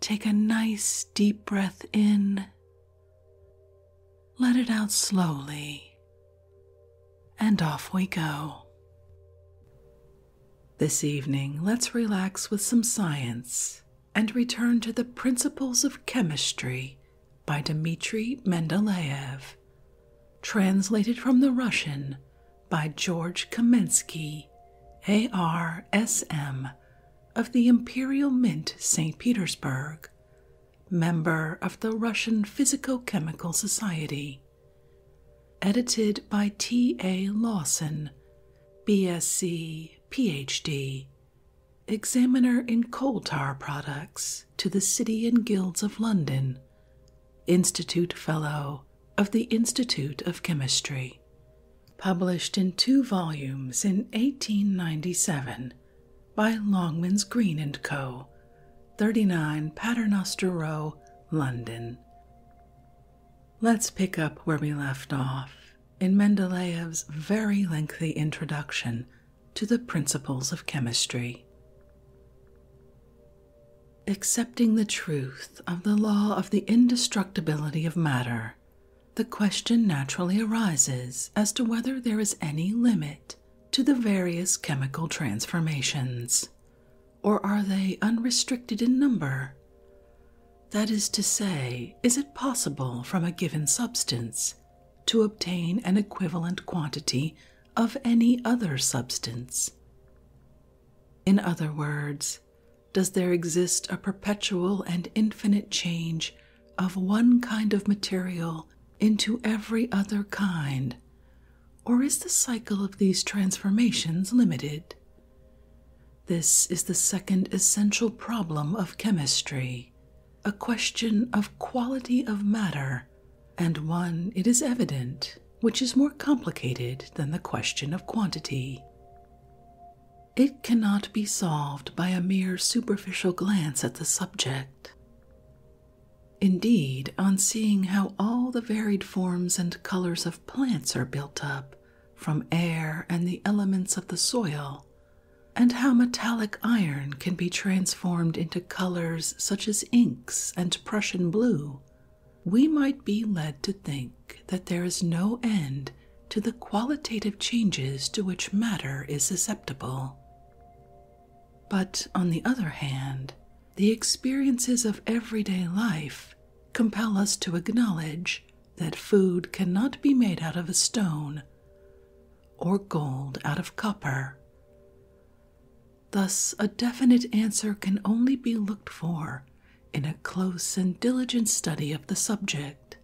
Take a nice deep breath in, let it out slowly, and off we go. This evening, let's relax with some science and return to the Principles of Chemistry by Dmitri Mendeleev, translated from the Russian by George Kamensky, ARSM of the Imperial Mint St. Petersburg, member of the Russian Physico Chemical Society. Edited by T. A. Lawson, BSc, PhD, examiner in coal tar products to the City and Guilds of London, Institute Fellow of the Institute of Chemistry published in two volumes in 1897 by Longmans Green and Co., 39 Paternoster Row, London. Let's pick up where we left off in Mendeleev's very lengthy introduction to the principles of chemistry. Accepting the truth of the law of the indestructibility of matter, the question naturally arises as to whether there is any limit to the various chemical transformations, or are they unrestricted in number? That is to say, is it possible from a given substance to obtain an equivalent quantity of any other substance? In other words, does there exist a perpetual and infinite change of one kind of material into every other kind, or is the cycle of these transformations limited? This is the second essential problem of chemistry, a question of quality of matter, and one, it is evident, which is more complicated than the question of quantity. It cannot be solved by a mere superficial glance at the subject. Indeed, on seeing how all the varied forms and colors of plants are built up from air and the elements of the soil, and how metallic iron can be transformed into colors such as inks and Prussian blue, we might be led to think that there is no end to the qualitative changes to which matter is susceptible. But on the other hand, the experiences of everyday life compel us to acknowledge that food cannot be made out of a stone or gold out of copper. Thus, a definite answer can only be looked for in a close and diligent study of the subject,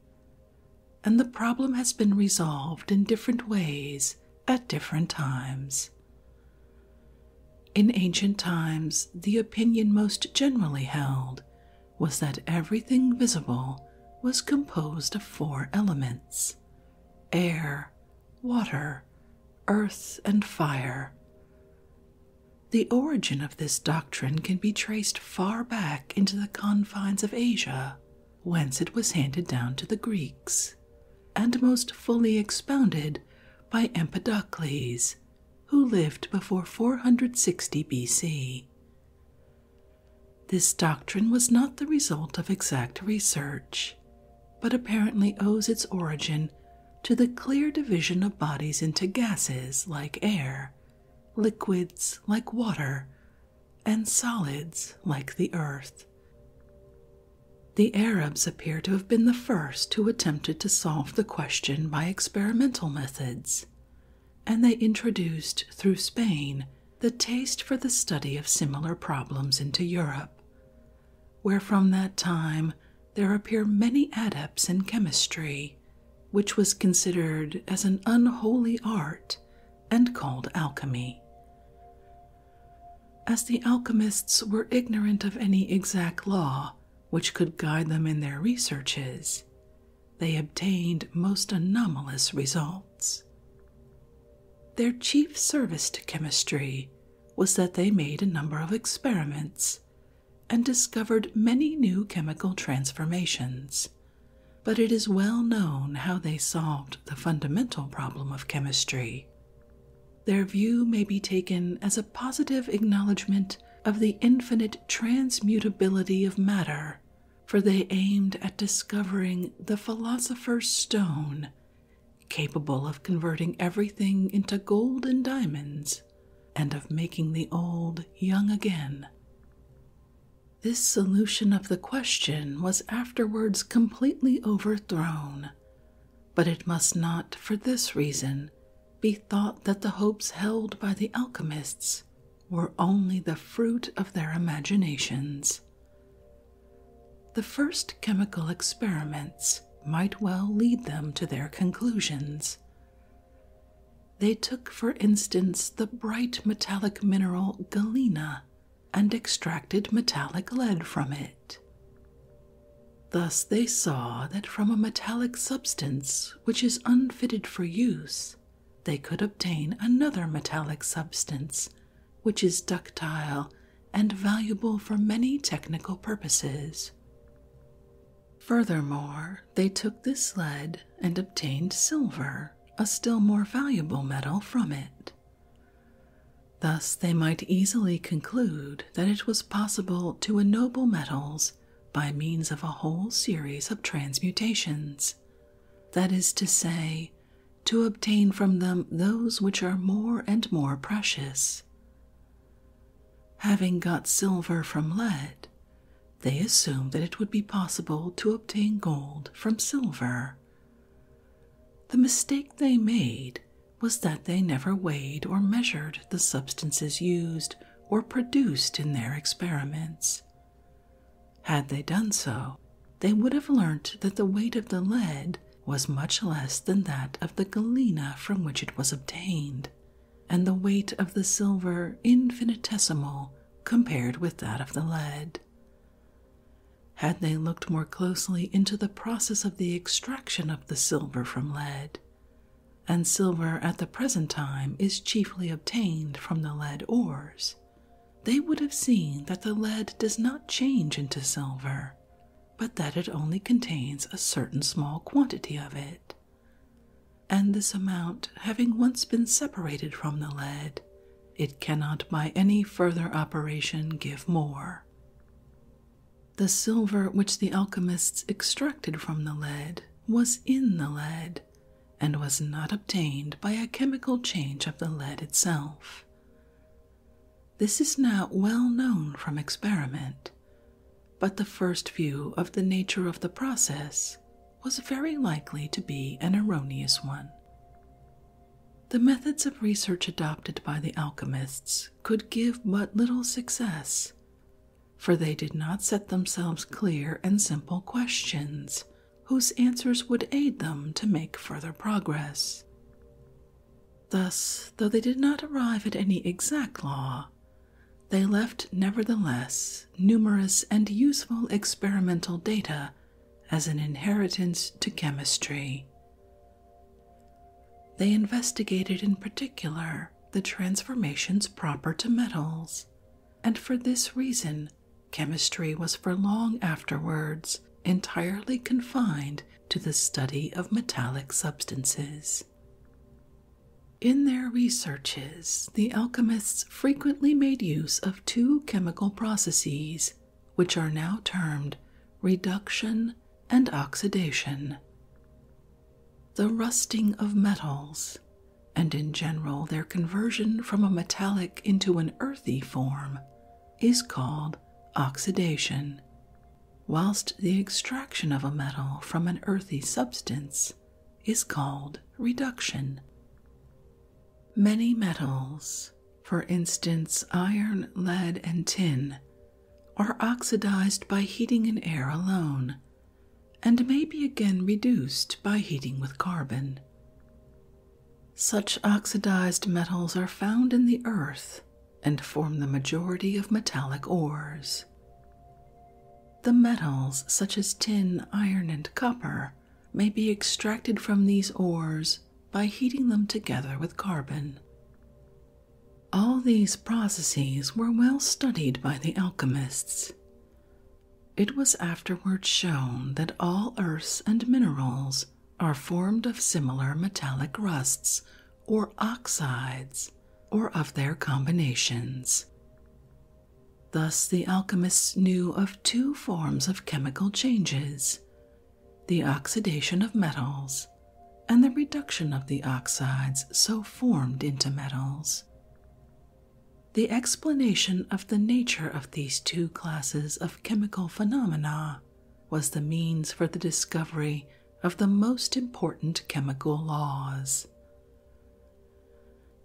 and the problem has been resolved in different ways at different times. In ancient times, the opinion most generally held was that everything visible was composed of four elements air, water, earth, and fire. The origin of this doctrine can be traced far back into the confines of Asia, whence it was handed down to the Greeks, and most fully expounded by Empedocles, who lived before 460 BC. This doctrine was not the result of exact research, but apparently owes its origin to the clear division of bodies into gases like air liquids like water, and solids like the earth. The Arabs appear to have been the first who attempted to solve the question by experimental methods, and they introduced through Spain the taste for the study of similar problems into Europe, where from that time there appear many adepts in chemistry which was considered as an unholy art and called alchemy. As the alchemists were ignorant of any exact law which could guide them in their researches, they obtained most anomalous results. Their chief service to chemistry was that they made a number of experiments and discovered many new chemical transformations. But it is well known how they solved the fundamental problem of chemistry. Their view may be taken as a positive acknowledgement of the infinite transmutability of matter, for they aimed at discovering the philosopher's stone, capable of converting everything into gold and diamonds, and of making the old young again. This solution of the question was afterwards completely overthrown, but it must not, for this reason, be thought that the hopes held by the alchemists were only the fruit of their imaginations. The first chemical experiments might well lead them to their conclusions, they took, for instance, the bright metallic mineral galena and extracted metallic lead from it. Thus, they saw that from a metallic substance which is unfitted for use, they could obtain another metallic substance which is ductile and valuable for many technical purposes. Furthermore, they took this lead and obtained silver, a still more valuable metal, from it. Thus, they might easily conclude that it was possible to ennoble metals by means of a whole series of transmutations, that is to say, to obtain from them those which are more and more precious. Having got silver from lead, they assumed that it would be possible to obtain gold from silver. The mistake they made was that they never weighed or measured the substances used or produced in their experiments. Had they done so, they would have learnt that the weight of the lead was much less than that of the galena from which it was obtained, and the weight of the silver infinitesimal compared with that of the lead. Had they looked more closely into the process of the extraction of the silver from lead, and silver at the present time is chiefly obtained from the lead ores, they would have seen that the lead does not change into silver, but that it only contains a certain small quantity of it. And this amount having once been separated from the lead, it cannot by any further operation give more. The silver which the alchemists extracted from the lead was in the lead, and was not obtained by a chemical change of the lead itself. This is now well known from experiment, but the first view of the nature of the process was very likely to be an erroneous one. The methods of research adopted by the alchemists could give but little success, for they did not set themselves clear and simple questions whose answers would aid them to make further progress. Thus, though they did not arrive at any exact law, they left, nevertheless, numerous and useful experimental data as an inheritance to chemistry. They investigated, in particular, the transformations proper to metals, and for this reason, chemistry was for long afterwards entirely confined to the study of metallic substances. In their researches, the alchemists frequently made use of two chemical processes, which are now termed reduction and oxidation. The rusting of metals, and in general their conversion from a metallic into an earthy form, is called oxidation, whilst the extraction of a metal from an earthy substance is called reduction. Many metals, for instance iron, lead, and tin, are oxidized by heating in air alone and may be again reduced by heating with carbon. Such oxidized metals are found in the earth and form the majority of metallic ores. The metals, such as tin, iron, and copper, may be extracted from these ores by heating them together with carbon. All these processes were well studied by the alchemists. It was afterwards shown that all earths and minerals are formed of similar metallic rusts or oxides or of their combinations. Thus, the alchemists knew of two forms of chemical changes the oxidation of metals and the reduction of the oxides so formed into metals. The explanation of the nature of these two classes of chemical phenomena was the means for the discovery of the most important chemical laws.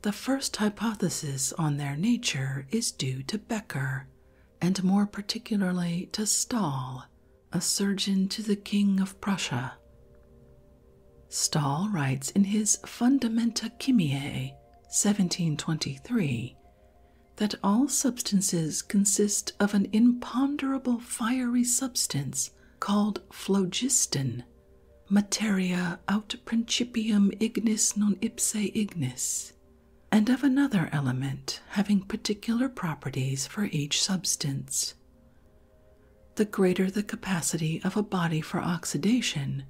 The first hypothesis on their nature is due to Becker, and more particularly to Stahl, a surgeon to the King of Prussia. Stahl writes in his Fundamenta Chimiae, 1723, that all substances consist of an imponderable fiery substance called phlogiston materia aut principium ignis non ipse ignis, and of another element having particular properties for each substance. The greater the capacity of a body for oxidation,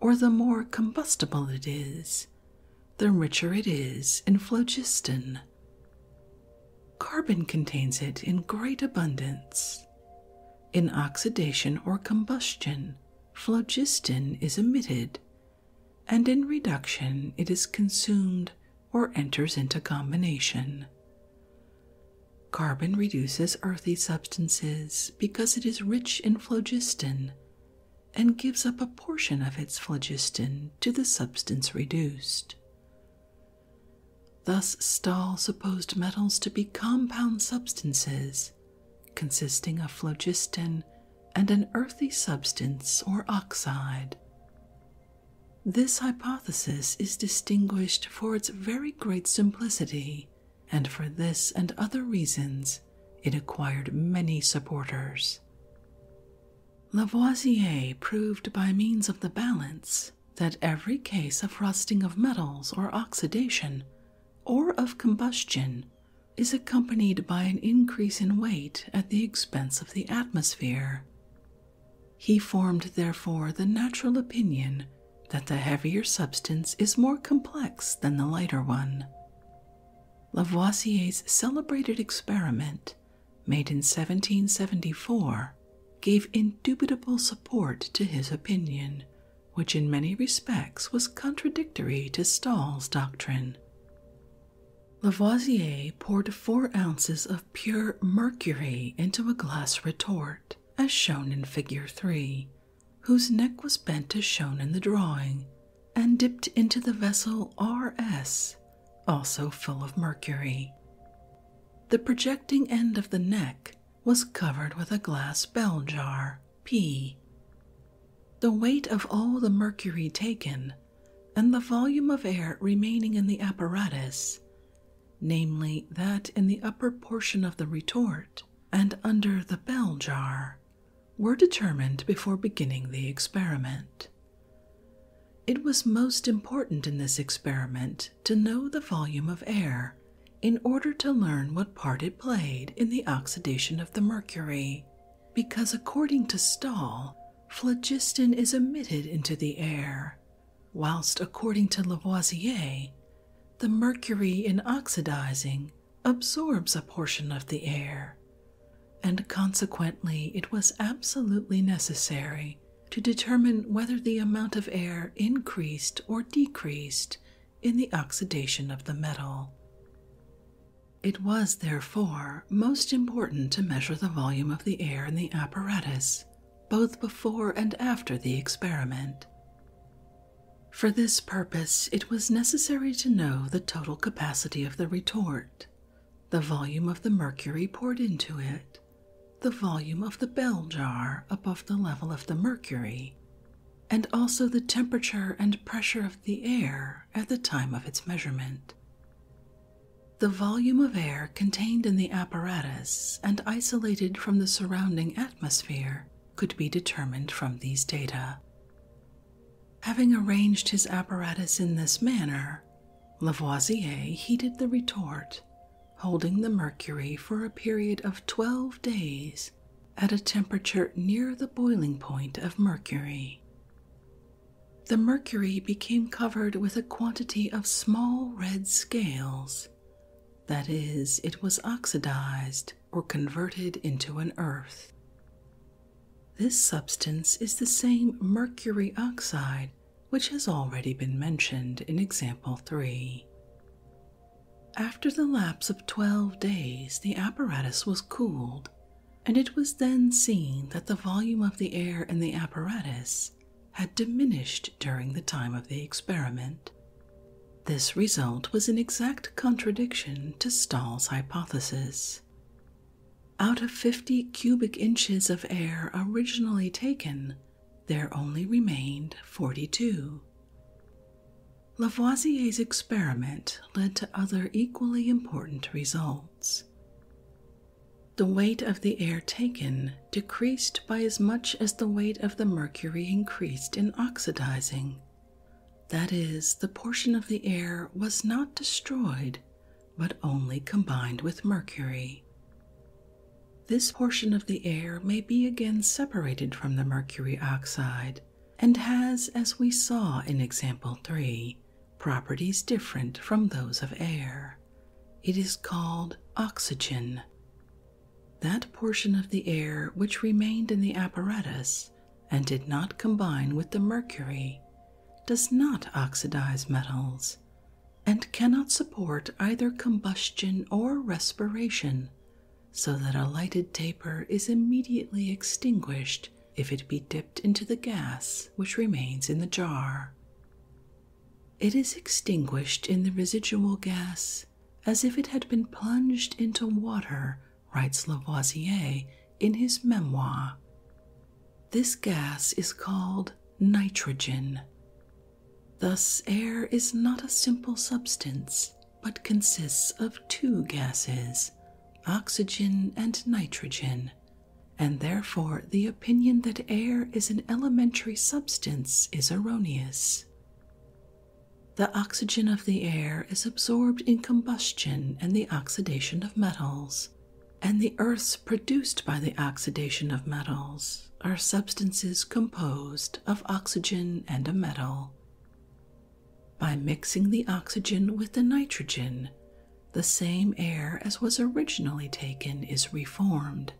or the more combustible it is, the richer it is in phlogiston. Carbon contains it in great abundance. In oxidation or combustion, phlogiston is emitted, and in reduction it is consumed or enters into combination. Carbon reduces earthy substances because it is rich in phlogiston and gives up a portion of its phlogiston to the substance reduced. Thus, Stahl supposed metals to be compound substances consisting of phlogiston and an earthy substance or oxide. This hypothesis is distinguished for its very great simplicity, and for this and other reasons it acquired many supporters. Lavoisier proved by means of the balance that every case of rusting of metals or oxidation or of combustion is accompanied by an increase in weight at the expense of the atmosphere. He formed, therefore, the natural opinion that the heavier substance is more complex than the lighter one. Lavoisier's celebrated experiment, made in 1774, gave indubitable support to his opinion, which in many respects was contradictory to Stahl's doctrine. Lavoisier poured four ounces of pure mercury into a glass retort, as shown in Figure 3, whose neck was bent as shown in the drawing, and dipped into the vessel RS, also full of mercury. The projecting end of the neck was covered with a glass bell jar, P. The weight of all the mercury taken and the volume of air remaining in the apparatus, namely that in the upper portion of the retort and under the bell jar, were determined before beginning the experiment. It was most important in this experiment to know the volume of air in order to learn what part it played in the oxidation of the mercury, because according to Stahl, phlogiston is emitted into the air, whilst according to Lavoisier, the mercury in oxidizing absorbs a portion of the air, and consequently it was absolutely necessary to determine whether the amount of air increased or decreased in the oxidation of the metal. It was, therefore, most important to measure the volume of the air in the apparatus both before and after the experiment. For this purpose, it was necessary to know the total capacity of the retort, the volume of the mercury poured into it, the volume of the bell jar above the level of the mercury, and also the temperature and pressure of the air at the time of its measurement. The volume of air contained in the apparatus and isolated from the surrounding atmosphere could be determined from these data. Having arranged his apparatus in this manner, Lavoisier heated the retort holding the mercury for a period of 12 days at a temperature near the boiling point of mercury. The mercury became covered with a quantity of small red scales, that is, it was oxidized or converted into an earth. This substance is the same mercury oxide which has already been mentioned in example 3. After the lapse of 12 days, the apparatus was cooled, and it was then seen that the volume of the air in the apparatus had diminished during the time of the experiment. This result was in exact contradiction to Stahl's hypothesis. Out of 50 cubic inches of air originally taken, there only remained 42. Lavoisier's experiment led to other equally important results. The weight of the air taken decreased by as much as the weight of the mercury increased in oxidizing. That is, the portion of the air was not destroyed, but only combined with mercury. This portion of the air may be again separated from the mercury oxide and has, as we saw in example 3, properties different from those of air. It is called oxygen. That portion of the air which remained in the apparatus and did not combine with the mercury does not oxidize metals and cannot support either combustion or respiration, so that a lighted taper is immediately extinguished if it be dipped into the gas which remains in the jar. It is extinguished in the residual gas as if it had been plunged into water, writes Lavoisier in his memoir. This gas is called nitrogen, Thus, air is not a simple substance, but consists of two gases, oxygen and nitrogen, and therefore the opinion that air is an elementary substance is erroneous. The oxygen of the air is absorbed in combustion and the oxidation of metals, and the earths produced by the oxidation of metals are substances composed of oxygen and a metal. By mixing the oxygen with the nitrogen, the same air as was originally taken is reformed.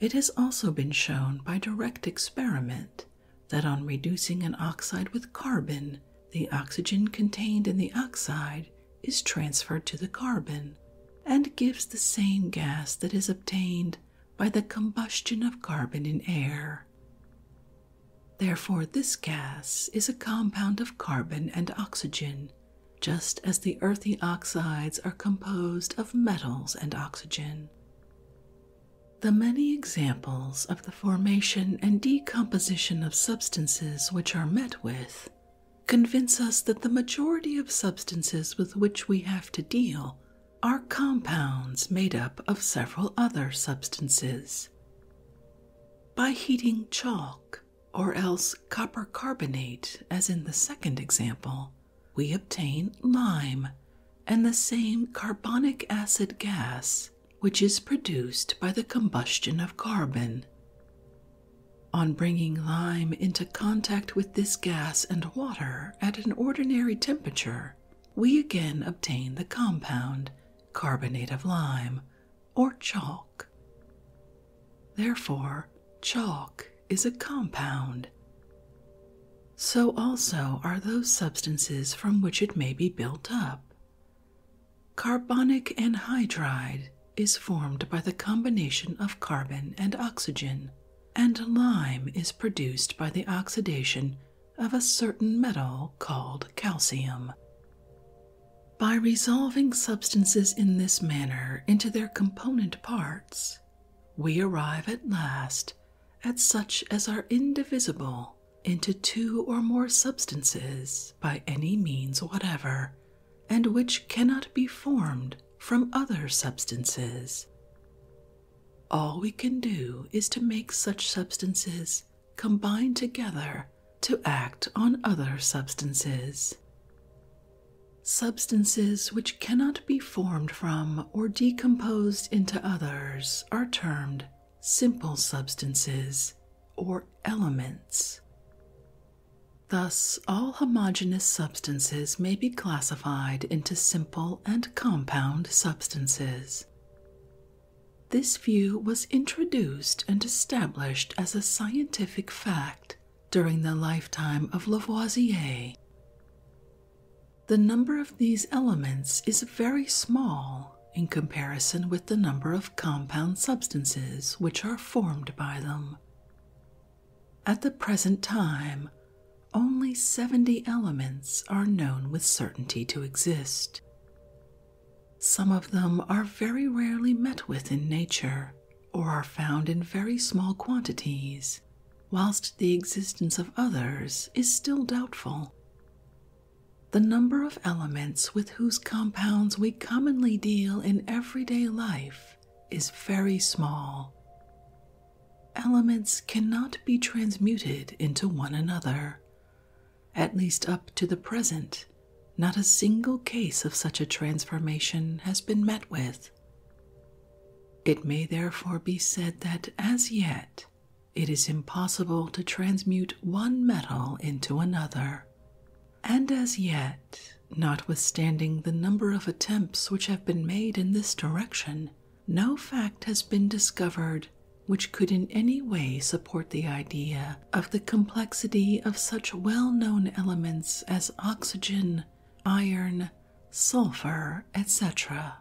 It has also been shown by direct experiment that on reducing an oxide with carbon, the oxygen contained in the oxide is transferred to the carbon and gives the same gas that is obtained by the combustion of carbon in air. Therefore, this gas is a compound of carbon and oxygen, just as the earthy oxides are composed of metals and oxygen. The many examples of the formation and decomposition of substances which are met with convince us that the majority of substances with which we have to deal are compounds made up of several other substances. By heating chalk, or else copper carbonate, as in the second example, we obtain lime and the same carbonic acid gas which is produced by the combustion of carbon. On bringing lime into contact with this gas and water at an ordinary temperature, we again obtain the compound carbonate of lime or chalk. Therefore, chalk is a compound. So also are those substances from which it may be built up. Carbonic anhydride is formed by the combination of carbon and oxygen and lime is produced by the oxidation of a certain metal called calcium. By resolving substances in this manner into their component parts, we arrive at last at such as are indivisible into two or more substances by any means whatever, and which cannot be formed from other substances. All we can do is to make such substances combine together to act on other substances. Substances which cannot be formed from or decomposed into others are termed simple substances or elements. Thus, all homogeneous substances may be classified into simple and compound substances. This view was introduced and established as a scientific fact during the lifetime of Lavoisier. The number of these elements is very small in comparison with the number of compound substances which are formed by them. At the present time, only 70 elements are known with certainty to exist. Some of them are very rarely met with in nature or are found in very small quantities, whilst the existence of others is still doubtful. The number of elements with whose compounds we commonly deal in everyday life is very small. Elements cannot be transmuted into one another. At least up to the present, not a single case of such a transformation has been met with. It may therefore be said that as yet it is impossible to transmute one metal into another, and as yet notwithstanding the number of attempts which have been made in this direction, no fact has been discovered which could in any way support the idea of the complexity of such well known elements as oxygen, iron, sulfur, etc.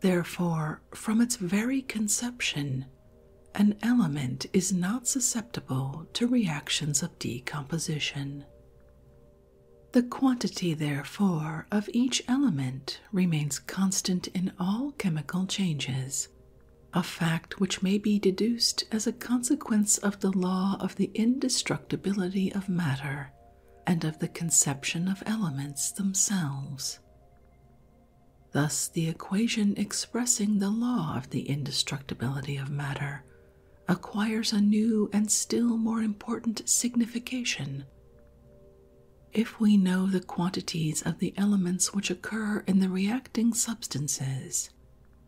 Therefore, from its very conception, an element is not susceptible to reactions of decomposition. The quantity, therefore, of each element remains constant in all chemical changes, a fact which may be deduced as a consequence of the law of the indestructibility of matter and of the conception of elements themselves. Thus, the equation expressing the law of the indestructibility of matter acquires a new and still more important signification. If we know the quantities of the elements which occur in the reacting substances,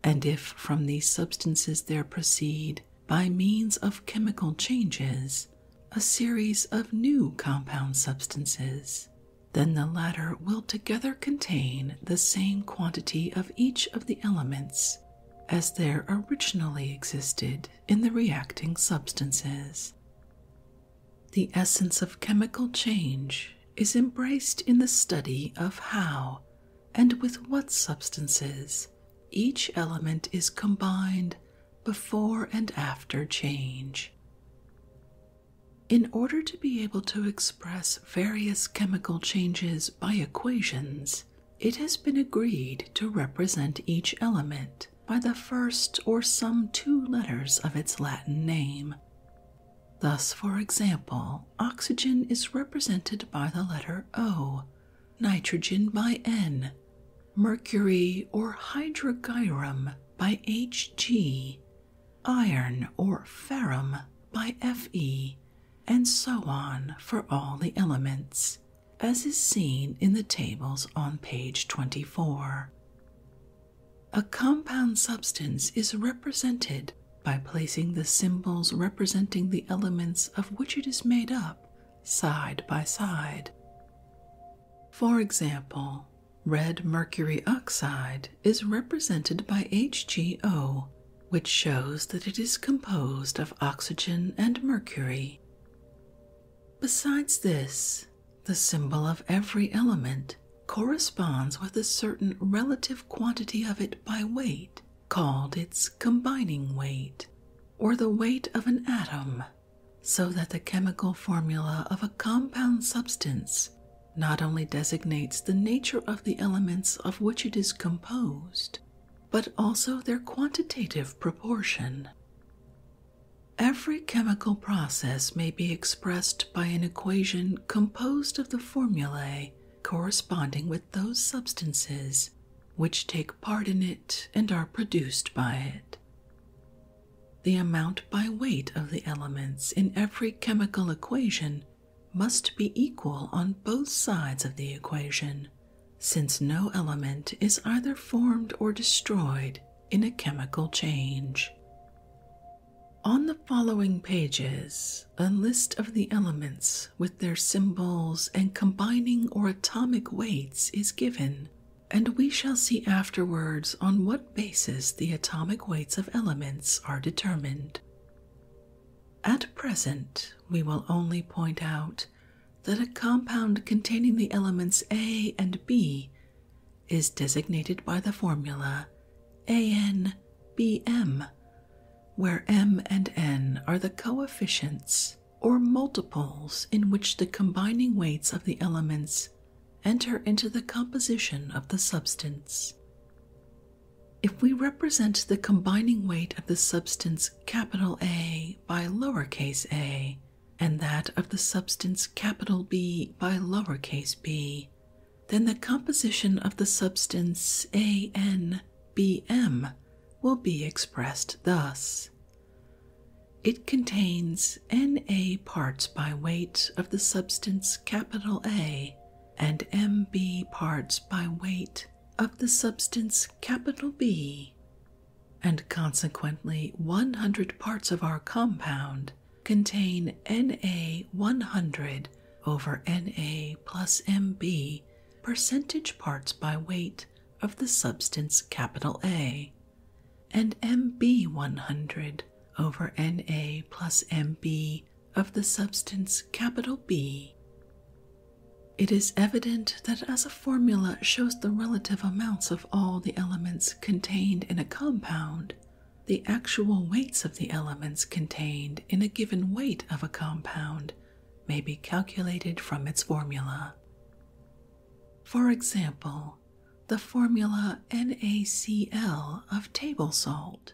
and if from these substances there proceed, by means of chemical changes, a series of new compound substances, then the latter will together contain the same quantity of each of the elements as there originally existed in the reacting substances. The essence of chemical change is embraced in the study of how and with what substances each element is combined before and after change. In order to be able to express various chemical changes by equations, it has been agreed to represent each element by the first or some two letters of its Latin name. Thus, for example, oxygen is represented by the letter O, nitrogen by N, mercury or hydrogyrum by Hg, iron or ferrum by Fe, and so on for all the elements, as is seen in the tables on page 24. A compound substance is represented by placing the symbols representing the elements of which it is made up side by side. For example, red mercury oxide is represented by HGO which shows that it is composed of oxygen and mercury. Besides this, the symbol of every element corresponds with a certain relative quantity of it by weight, called its combining weight, or the weight of an atom, so that the chemical formula of a compound substance not only designates the nature of the elements of which it is composed, but also their quantitative proportion. Every chemical process may be expressed by an equation composed of the formulae corresponding with those substances which take part in it and are produced by it. The amount by weight of the elements in every chemical equation must be equal on both sides of the equation, since no element is either formed or destroyed in a chemical change. On the following pages, a list of the elements with their symbols and combining or atomic weights is given, and we shall see afterwards on what basis the atomic weights of elements are determined. At present, we will only point out that a compound containing the elements A and B is designated by the formula ANBM, where M and N are the coefficients or multiples in which the combining weights of the elements enter into the composition of the substance. If we represent the combining weight of the substance A by lowercase a and that of the substance B by lowercase b, then the composition of the substance ANBM will be expressed thus. It contains Na parts by weight of the substance A and Mb parts by weight of the substance B, and consequently 100 parts of our compound contain Na 100 over Na plus Mb percentage parts by weight of the substance A, and Mb 100 over Na plus Mb of the substance B. It is evident that as a formula shows the relative amounts of all the elements contained in a compound, the actual weights of the elements contained in a given weight of a compound may be calculated from its formula. For example, the formula NaCl of table salt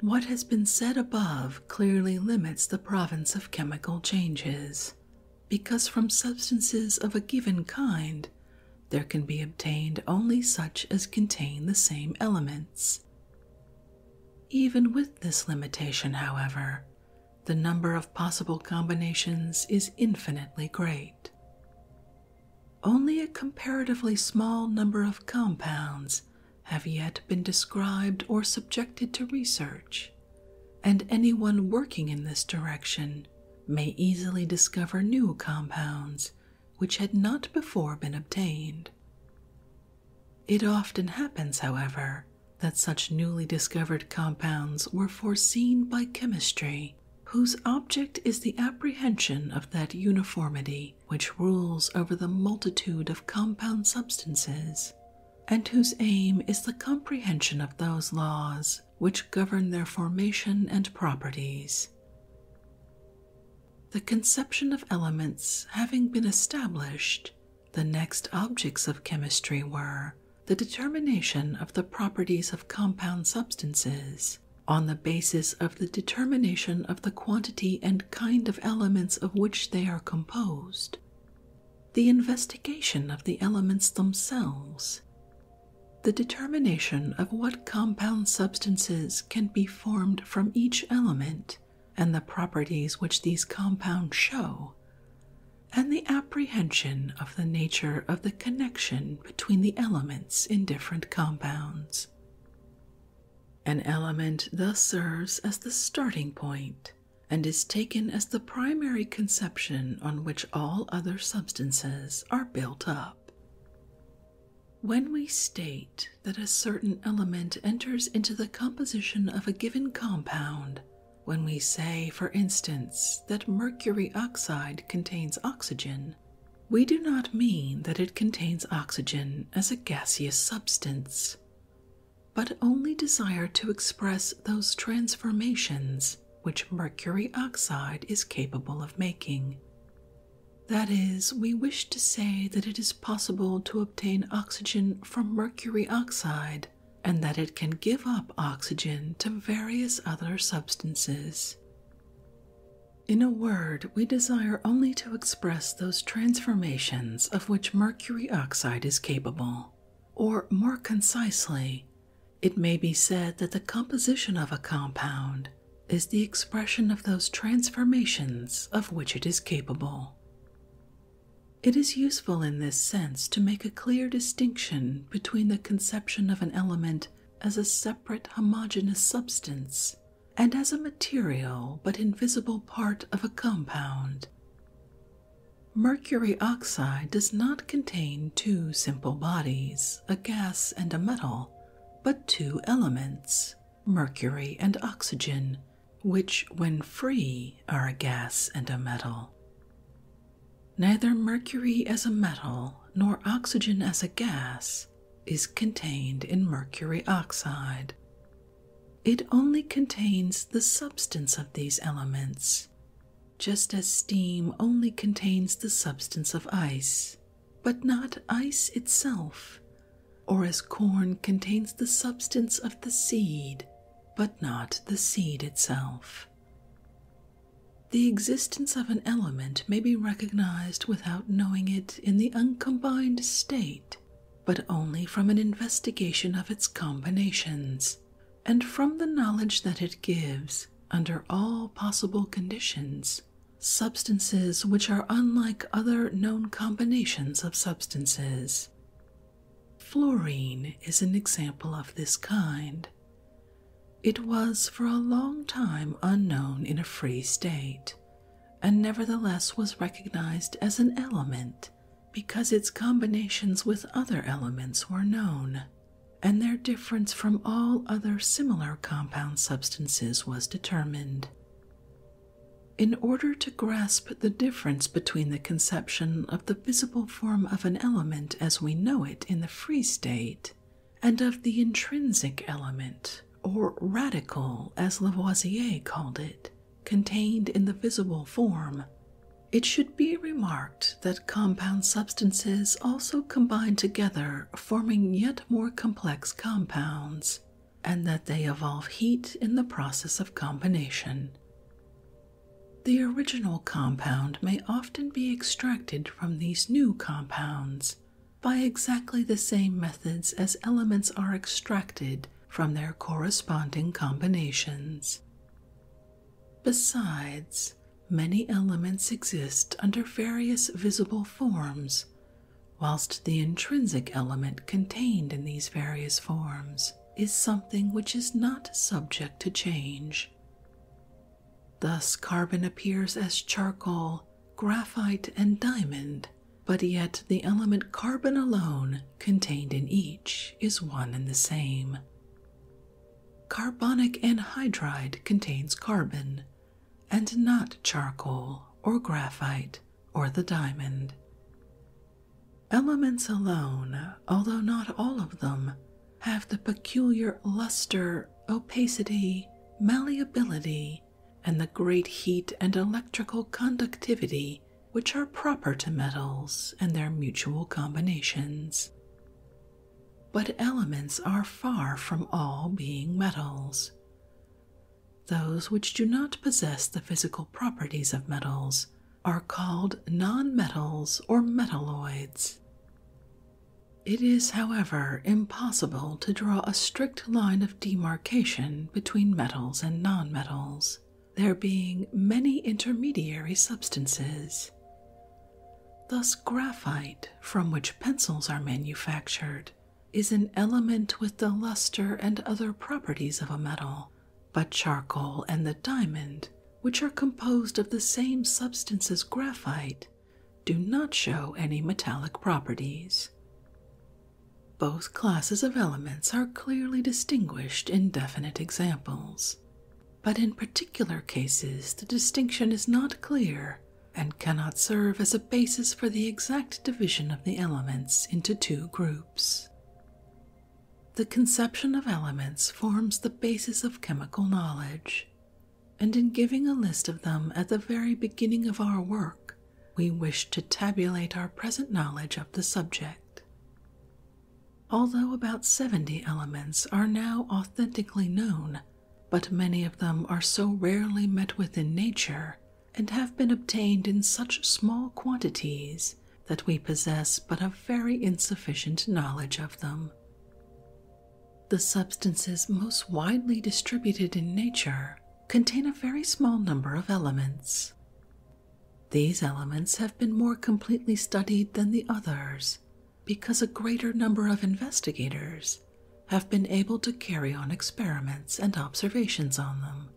What has been said above clearly limits the province of chemical changes, because from substances of a given kind there can be obtained only such as contain the same elements. Even with this limitation, however, the number of possible combinations is infinitely great. Only a comparatively small number of compounds have yet been described or subjected to research, and anyone working in this direction may easily discover new compounds which had not before been obtained. It often happens, however, that such newly discovered compounds were foreseen by chemistry, whose object is the apprehension of that uniformity which rules over the multitude of compound substances, and whose aim is the comprehension of those laws which govern their formation and properties. The conception of elements having been established, the next objects of chemistry were the determination of the properties of compound substances on the basis of the determination of the quantity and kind of elements of which they are composed, the investigation of the elements themselves, the determination of what compound substances can be formed from each element and the properties which these compounds show, and the apprehension of the nature of the connection between the elements in different compounds. An element thus serves as the starting point and is taken as the primary conception on which all other substances are built up. When we state that a certain element enters into the composition of a given compound, when we say, for instance, that mercury oxide contains oxygen, we do not mean that it contains oxygen as a gaseous substance, but only desire to express those transformations which mercury oxide is capable of making. That is, we wish to say that it is possible to obtain oxygen from mercury oxide and that it can give up oxygen to various other substances. In a word, we desire only to express those transformations of which mercury oxide is capable, or more concisely, it may be said that the composition of a compound is the expression of those transformations of which it is capable. It is useful in this sense to make a clear distinction between the conception of an element as a separate homogeneous substance and as a material but invisible part of a compound. Mercury oxide does not contain two simple bodies, a gas and a metal, but two elements, mercury and oxygen, which, when free, are a gas and a metal. Neither mercury as a metal nor oxygen as a gas is contained in mercury oxide. It only contains the substance of these elements, just as steam only contains the substance of ice, but not ice itself, or as corn contains the substance of the seed, but not the seed itself. The existence of an element may be recognized without knowing it in the uncombined state, but only from an investigation of its combinations and from the knowledge that it gives, under all possible conditions, substances which are unlike other known combinations of substances. Fluorine is an example of this kind. It was for a long time unknown in a free state, and nevertheless was recognized as an element because its combinations with other elements were known, and their difference from all other similar compound substances was determined. In order to grasp the difference between the conception of the visible form of an element as we know it in the free state and of the intrinsic element, or radical as Lavoisier called it, contained in the visible form. It should be remarked that compound substances also combine together, forming yet more complex compounds, and that they evolve heat in the process of combination. The original compound may often be extracted from these new compounds, by exactly the same methods as elements are extracted from their corresponding combinations. Besides, many elements exist under various visible forms, whilst the intrinsic element contained in these various forms is something which is not subject to change. Thus, carbon appears as charcoal, graphite, and diamond but yet the element carbon alone contained in each is one and the same. Carbonic anhydride contains carbon, and not charcoal or graphite or the diamond. Elements alone, although not all of them, have the peculiar luster, opacity, malleability, and the great heat and electrical conductivity which are proper to metals and their mutual combinations. But elements are far from all being metals. Those which do not possess the physical properties of metals are called nonmetals or metalloids. It is, however, impossible to draw a strict line of demarcation between metals and non-metals; there being many intermediary substances. Thus, graphite, from which pencils are manufactured, is an element with the luster and other properties of a metal, but charcoal and the diamond, which are composed of the same substance as graphite, do not show any metallic properties. Both classes of elements are clearly distinguished in definite examples, but in particular cases the distinction is not clear and cannot serve as a basis for the exact division of the elements into two groups. The conception of elements forms the basis of chemical knowledge, and in giving a list of them at the very beginning of our work, we wish to tabulate our present knowledge of the subject. Although about 70 elements are now authentically known, but many of them are so rarely met with in nature and have been obtained in such small quantities that we possess but a very insufficient knowledge of them. The substances most widely distributed in nature contain a very small number of elements. These elements have been more completely studied than the others because a greater number of investigators have been able to carry on experiments and observations on them.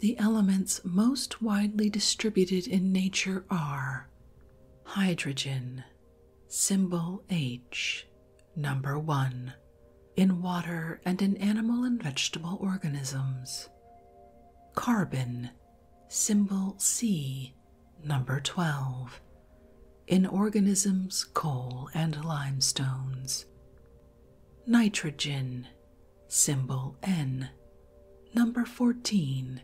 The elements most widely distributed in nature are hydrogen, symbol H, Number 1. In water and in animal and vegetable organisms. Carbon, symbol C, number 12. In organisms, coal and limestones. Nitrogen, symbol N, number 14.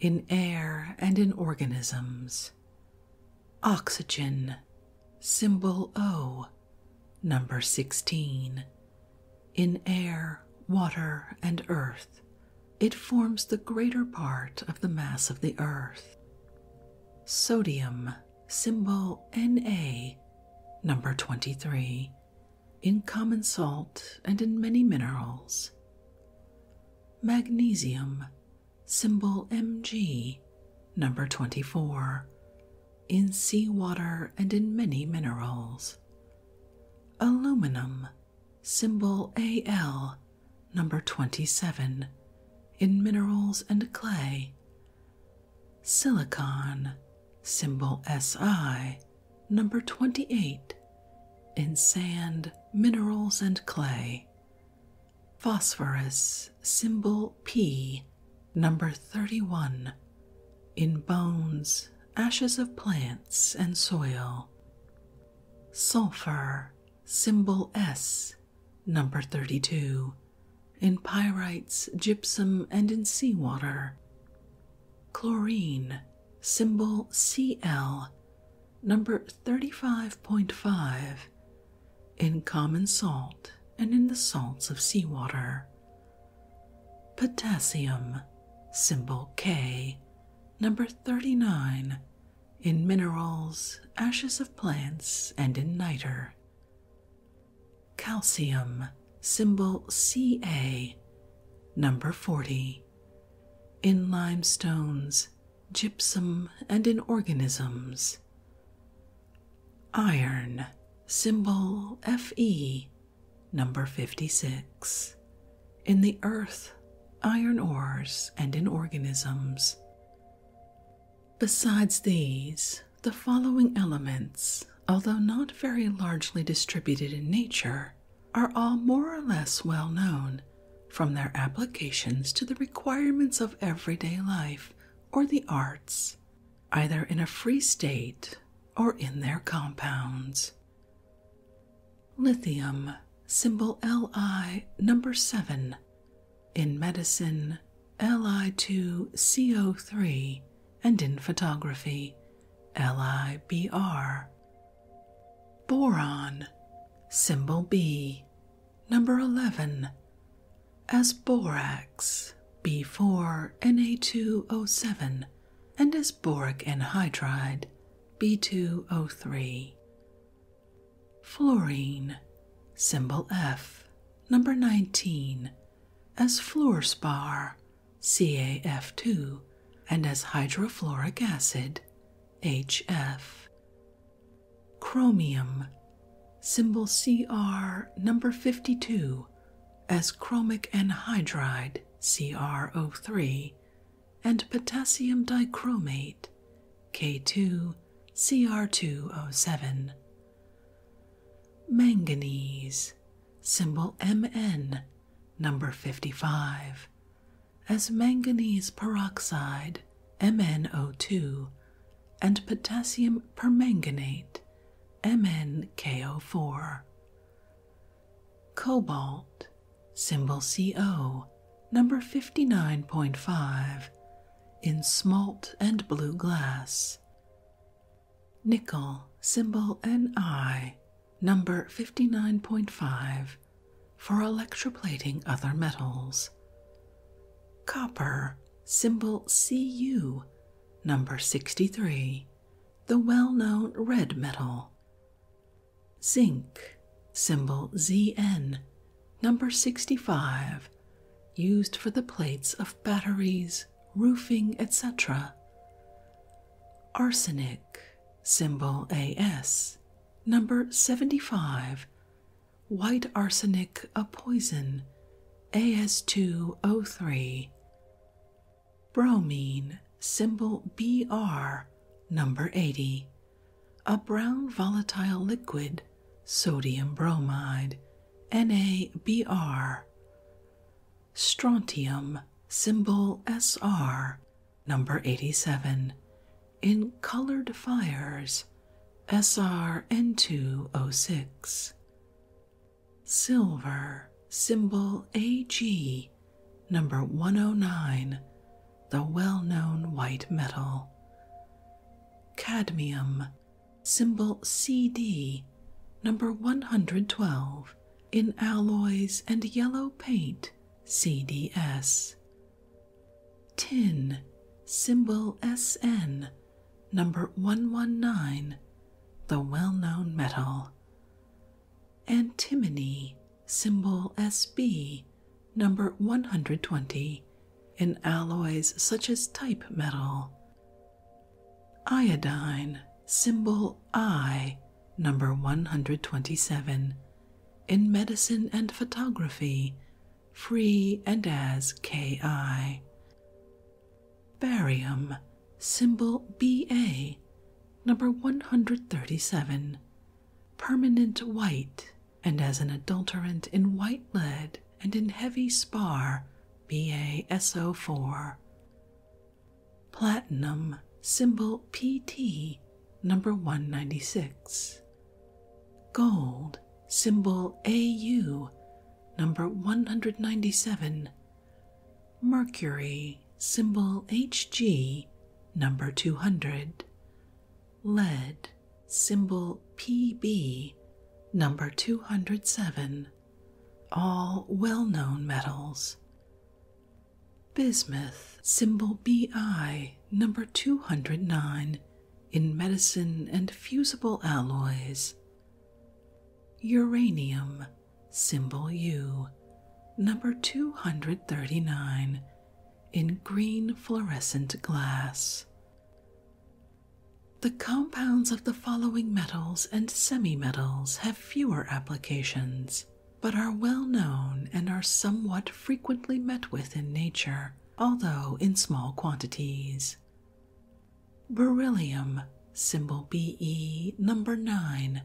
In air and in organisms. Oxygen, symbol O, number 16. In air, water, and earth, it forms the greater part of the mass of the earth. Sodium, symbol Na, number 23. In common salt and in many minerals. Magnesium, symbol Mg, number 24, in seawater and in many minerals. Aluminum, symbol Al, number 27, in minerals and clay. Silicon, symbol Si, number 28, in sand, minerals, and clay phosphorus symbol P, number 31, in bones, ashes of plants, and soil. Sulfur symbol S, number 32, in pyrites, gypsum, and in seawater. Chlorine symbol CL, number 35.5, in common salt and in the salts of sea water. Potassium, symbol K, number 39, in minerals, ashes of plants, and in nitre. Calcium, symbol Ca, number 40, in limestones, gypsum, and in organisms. Iron, symbol Fe, number 56. In the earth, iron ores, and in organisms. Besides these, the following elements, although not very largely distributed in nature, are all more or less well known from their applications to the requirements of everyday life or the arts, either in a free state or in their compounds. Lithium, symbol Li number 7, in medicine Li2CO3, and in photography LIBR. Boron, symbol B, Number 11. As borax, B4Na2O7, and as boric anhydride, B2O3. Fluorine, symbol F, number 19, as fluorspar, CAF2, and as hydrofluoric acid, HF. Chromium, symbol CR number 52, as chromic anhydride CrO3, and potassium dichromate K2Cr2O7. Manganese, symbol Mn number 55, as manganese peroxide mno and potassium permanganate, mnko Cobalt, symbol CO, number 59.5, in smalt and blue glass. Nickel, symbol Ni, number 59.5, for electroplating other metals. Copper, symbol Cu, number 63, the well known red metal. Zinc, symbol Zn, number 65, used for the plates of batteries, roofing, etc. Arsenic, symbol As, number 75, white arsenic a poison, AS2O3. Bromine, symbol BR, number 80, a brown volatile liquid, sodium bromide, NABR. Strontium, symbol SR, number 87, in colored fires SRN206. Silver symbol AG number 109, the well known white metal. Cadmium symbol CD number 112 in alloys and yellow paint CDS. Tin, symbol SN, number 119, the well known metal. Antimony, symbol SB, number 120, in alloys such as type metal. Iodine, symbol I, number 127, in medicine and photography free and as Ki. Barium, symbol BA, number 137, permanent white, and as an adulterant in white lead and in heavy spar, BaSO4. Platinum, symbol PT, number 196, Gold, symbol AU, number 197. Mercury, symbol HG, number 200. Lead, symbol PB, number 207. All well known metals. Bismuth, symbol BI, number 209, in medicine and fusible alloys. Uranium, symbol U, number 239, in green fluorescent glass. The compounds of the following metals and semimetals have fewer applications, but are well known and are somewhat frequently met with in nature although in small quantities. Beryllium, symbol BE number 9,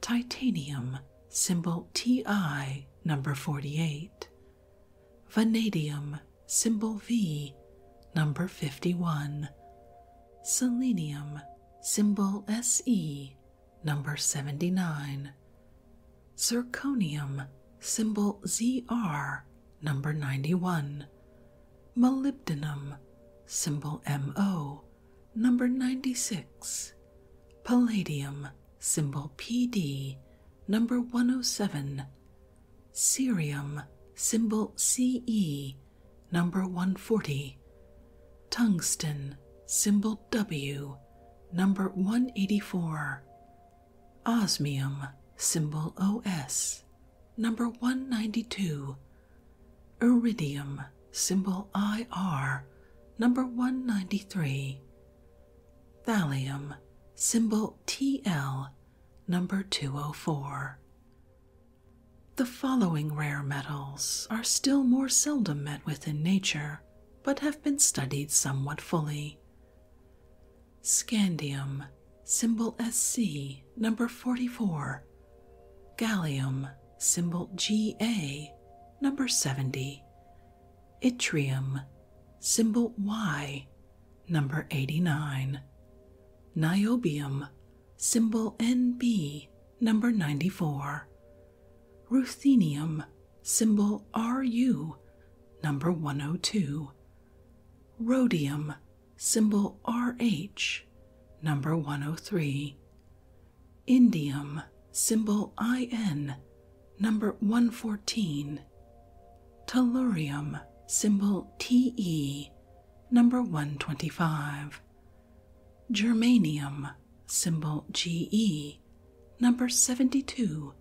titanium, symbol TI number 48, vanadium, symbol V number 51, selenium, symbol SE number 79, zirconium, symbol ZR, number 91, molybdenum, symbol MO, number 96, palladium, symbol PD, number 107, cerium, symbol CE, number 140, tungsten, symbol W, number 184, Osmium, symbol OS, number 192. Iridium, symbol IR, number 193. Thallium, symbol TL, number 204. The following rare metals are still more seldom met with in nature, but have been studied somewhat fully, Scandium, symbol SC, number 44. Gallium, symbol GA, number 70. Yttrium, symbol Y, number 89. Niobium, symbol NB, number 94. Ruthenium, symbol RU, number 102. Rhodium, symbol RH, number 103. Indium, symbol IN, number 114. Tellurium, symbol TE, number 125. Germanium, symbol GE, number 72.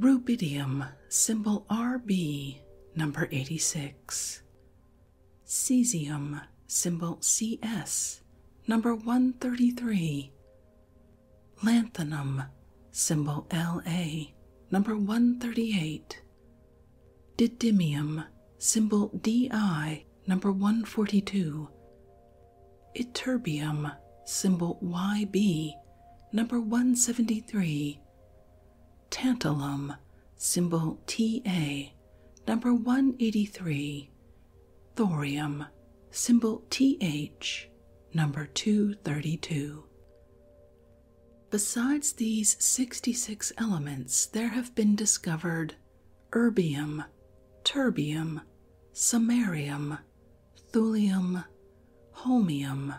Rubidium, symbol RB, number 86. Cesium, symbol CS, number 133. Lanthanum, symbol LA, number 138. Didymium, symbol DI, number 142. Ytterbium, symbol YB, number 173. Tantalum, symbol TA, number 183. Thorium, symbol TH, number 232. Besides these 66 elements, there have been discovered erbium, terbium, samarium, thulium, holmium,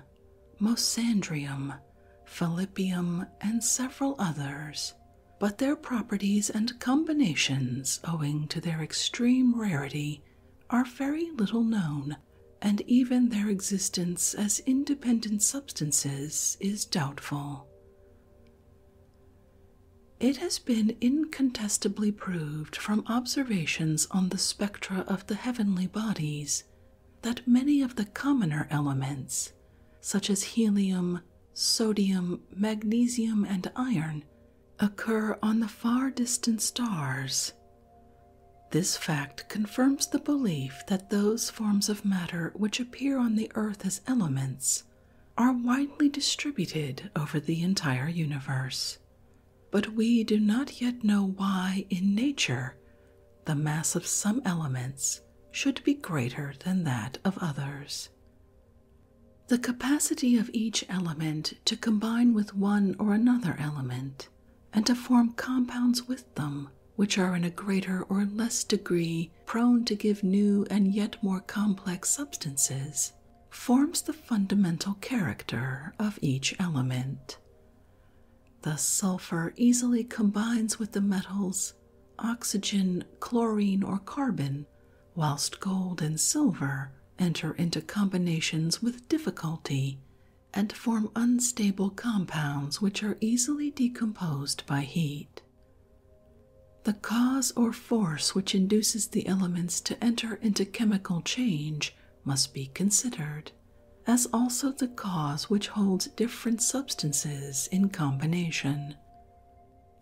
mosandrium, philippium, and several others, but their properties and combinations, owing to their extreme rarity, are very little known, and even their existence as independent substances is doubtful. It has been incontestably proved from observations on the spec spectra of the heavenly bodies that many of the commoner elements, such as helium, sodium, magnesium, and iron, occur on the far distant stars. This fact confirms the belief that those forms of matter which appear on the Earth as elements are widely distributed over the entire universe, but we do not yet know why in nature the mass of some elements should be greater than that of others. The capacity of each element to combine with one or another element and to form compounds with them which are in a greater or less degree prone to give new and yet more complex substances forms the fundamental character of each element. Thus, sulfur easily combines with the metals oxygen, chlorine, or carbon, whilst gold and silver enter into combinations with difficulty and form unstable compounds which are easily decomposed by heat. The cause or force which induces the elements to enter into chemical change must be considered, as also the cause which holds different substances in combination,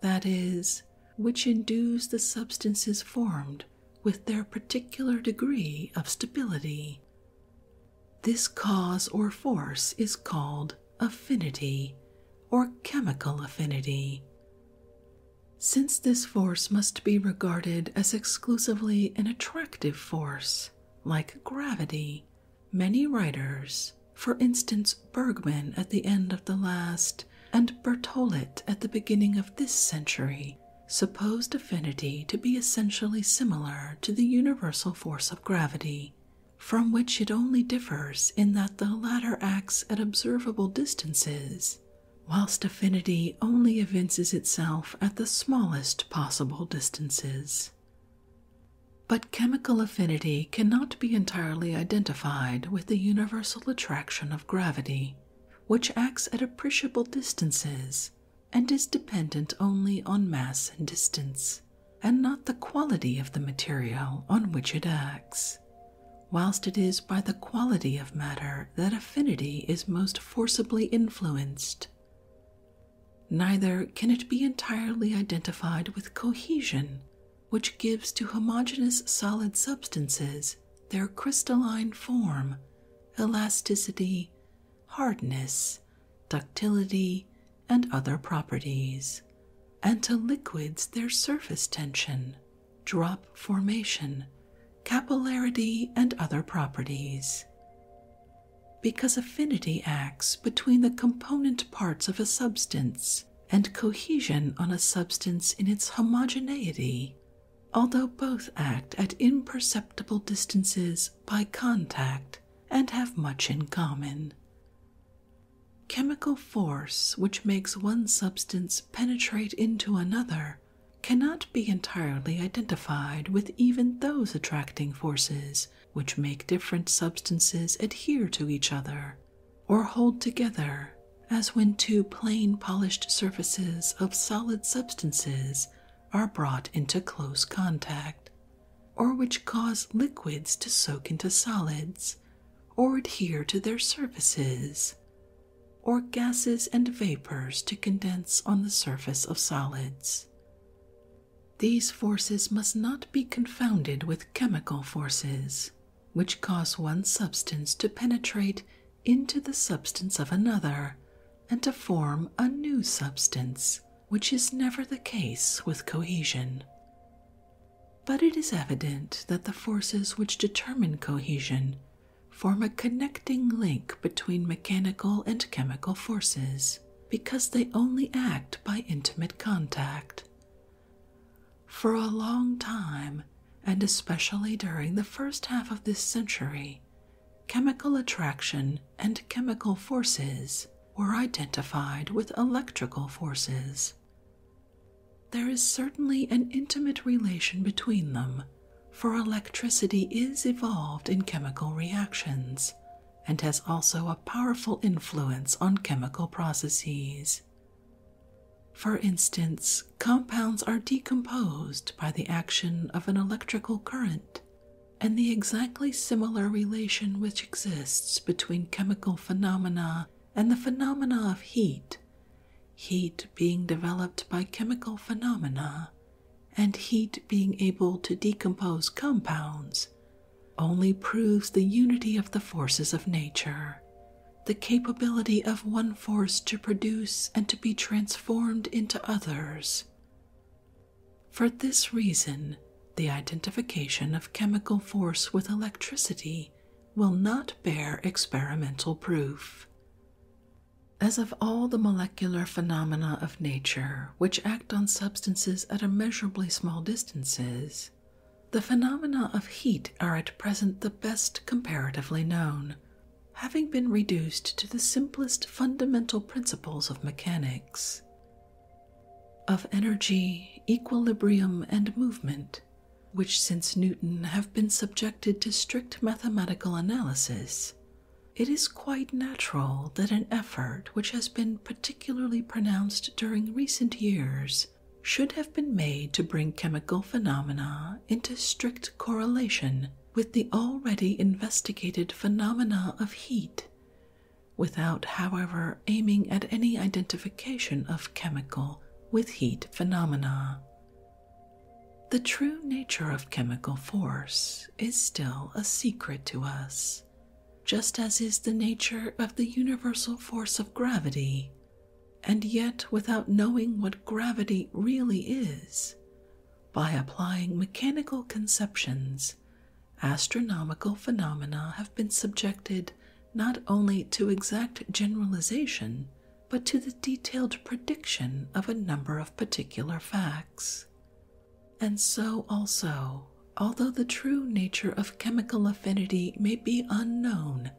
that is, which induce the substances formed with their particular degree of stability. This cause or force is called affinity or chemical affinity. Since this force must be regarded as exclusively an attractive force, like gravity, many writers, for instance Bergman at the end of the last and Bertolet at the beginning of this century, supposed affinity to be essentially similar to the universal force of gravity, from which it only differs in that the latter acts at observable distances whilst affinity only evinces itself at the smallest possible distances. But chemical affinity cannot be entirely identified with the universal attraction of gravity, which acts at appreciable distances and is dependent only on mass and distance, and not the quality of the material on which it acts, whilst it is by the quality of matter that affinity is most forcibly influenced. Neither can it be entirely identified with cohesion, which gives to homogeneous solid substances their crystalline form, elasticity, hardness, ductility, and other properties, and to liquids their surface tension, drop formation, capillarity, and other properties. Because affinity acts between the component parts of a substance and cohesion on a substance in its homogeneity, although both act at imperceptible distances by contact and have much in common. Chemical force, which makes one substance penetrate into another, cannot be entirely identified with even those attracting forces which make different substances adhere to each other or hold together, as when two plain polished surfaces of solid substances are brought into close contact, or which cause liquids to soak into solids or adhere to their surfaces or gases and vapors to condense on the surface of solids. These forces must not be confounded with chemical forces, which cause one substance to penetrate into the substance of another and to form a new substance, which is never the case with cohesion. But it is evident that the forces which determine cohesion form a connecting link between mechanical and chemical forces because they only act by intimate contact. For a long time, and especially during the first half of this century, chemical attraction and chemical forces were identified with electrical forces. There is certainly an intimate relation between them, for electricity is evolved in chemical reactions and has also a powerful influence on chemical processes. For instance, compounds are decomposed by the action of an electrical current, and the exactly similar relation which exists between chemical phenomena and the phenomena of heat heat being developed by chemical phenomena and heat being able to decompose compounds only proves the unity of the forces of nature, the capability of one force to produce and to be transformed into others. For this reason, the identification of chemical force with electricity will not bear experimental proof. As of all the molecular phenomena of nature which act on substances at immeasurably small distances, the phenomena of heat are at present the best comparatively known, having been reduced to the simplest fundamental principles of mechanics. Of energy, equilibrium, and movement, which since Newton have been subjected to strict mathematical analysis, it is quite natural that an effort which has been particularly pronounced during recent years should have been made to bring chemical phenomena into strict correlation with the already investigated phenomena of heat, without, however, aiming at any identification of chemical with heat phenomena. The true nature of chemical force is still a secret to us, just as is the nature of the universal force of gravity. And yet, without knowing what gravity really is, by applying mechanical conceptions, astronomical phenomena have been subjected not only to exact generalization but to the detailed prediction of a number of particular facts. And so also, although the true nature of chemical affinity may be unknown,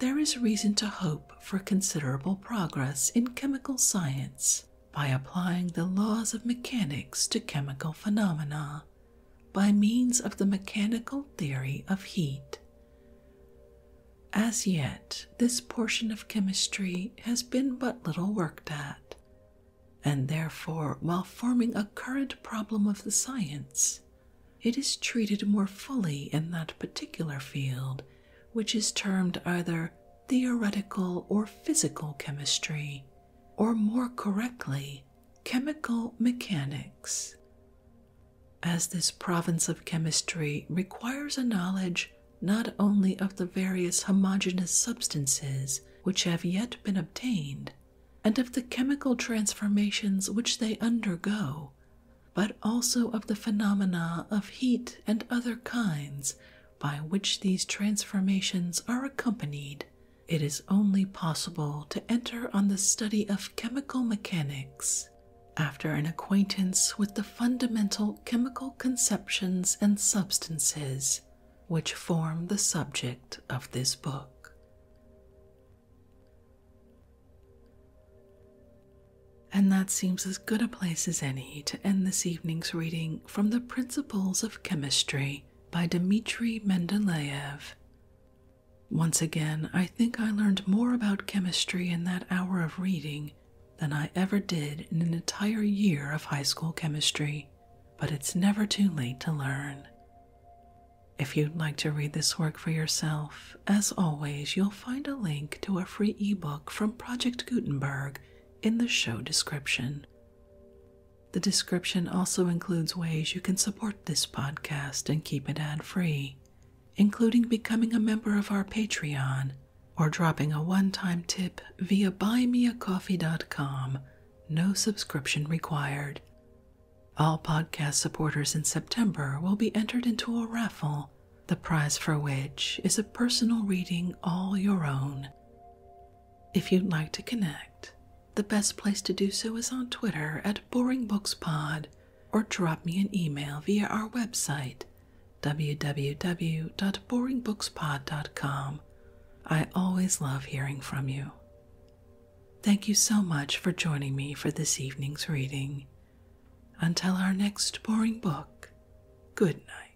there is reason to hope for considerable progress in chemical science by applying the laws of mechanics to chemical phenomena by means of the mechanical theory of heat. As yet, this portion of chemistry has been but little worked at, and therefore, while forming a current problem of the science, it is treated more fully in that particular field which is termed either theoretical or physical chemistry, or more correctly, chemical mechanics as this province of chemistry requires a knowledge not only of the various homogeneous substances which have yet been obtained, and of the chemical transformations which they undergo, but also of the phenomena of heat and other kinds by which these transformations are accompanied, it is only possible to enter on the study of chemical mechanics after an acquaintance with the fundamental chemical conceptions and substances which form the subject of this book. And that seems as good a place as any to end this evening's reading from The Principles of Chemistry by Dmitri Mendeleev. Once again, I think I learned more about chemistry in that hour of reading than I ever did in an entire year of high school chemistry, but it's never too late to learn. If you'd like to read this work for yourself, as always, you'll find a link to a free ebook from Project Gutenberg in the show description. The description also includes ways you can support this podcast and keep it ad free, including becoming a member of our Patreon or dropping a one time tip via buymeacoffee.com. No subscription required. All podcast supporters in September will be entered into a raffle, the prize for which is a personal reading all your own. If you'd like to connect, the best place to do so is on Twitter at BoringBooksPod or drop me an email via our website www.boringbookspod.com. I always love hearing from you. Thank you so much for joining me for this evening's reading. Until our next boring book, good night.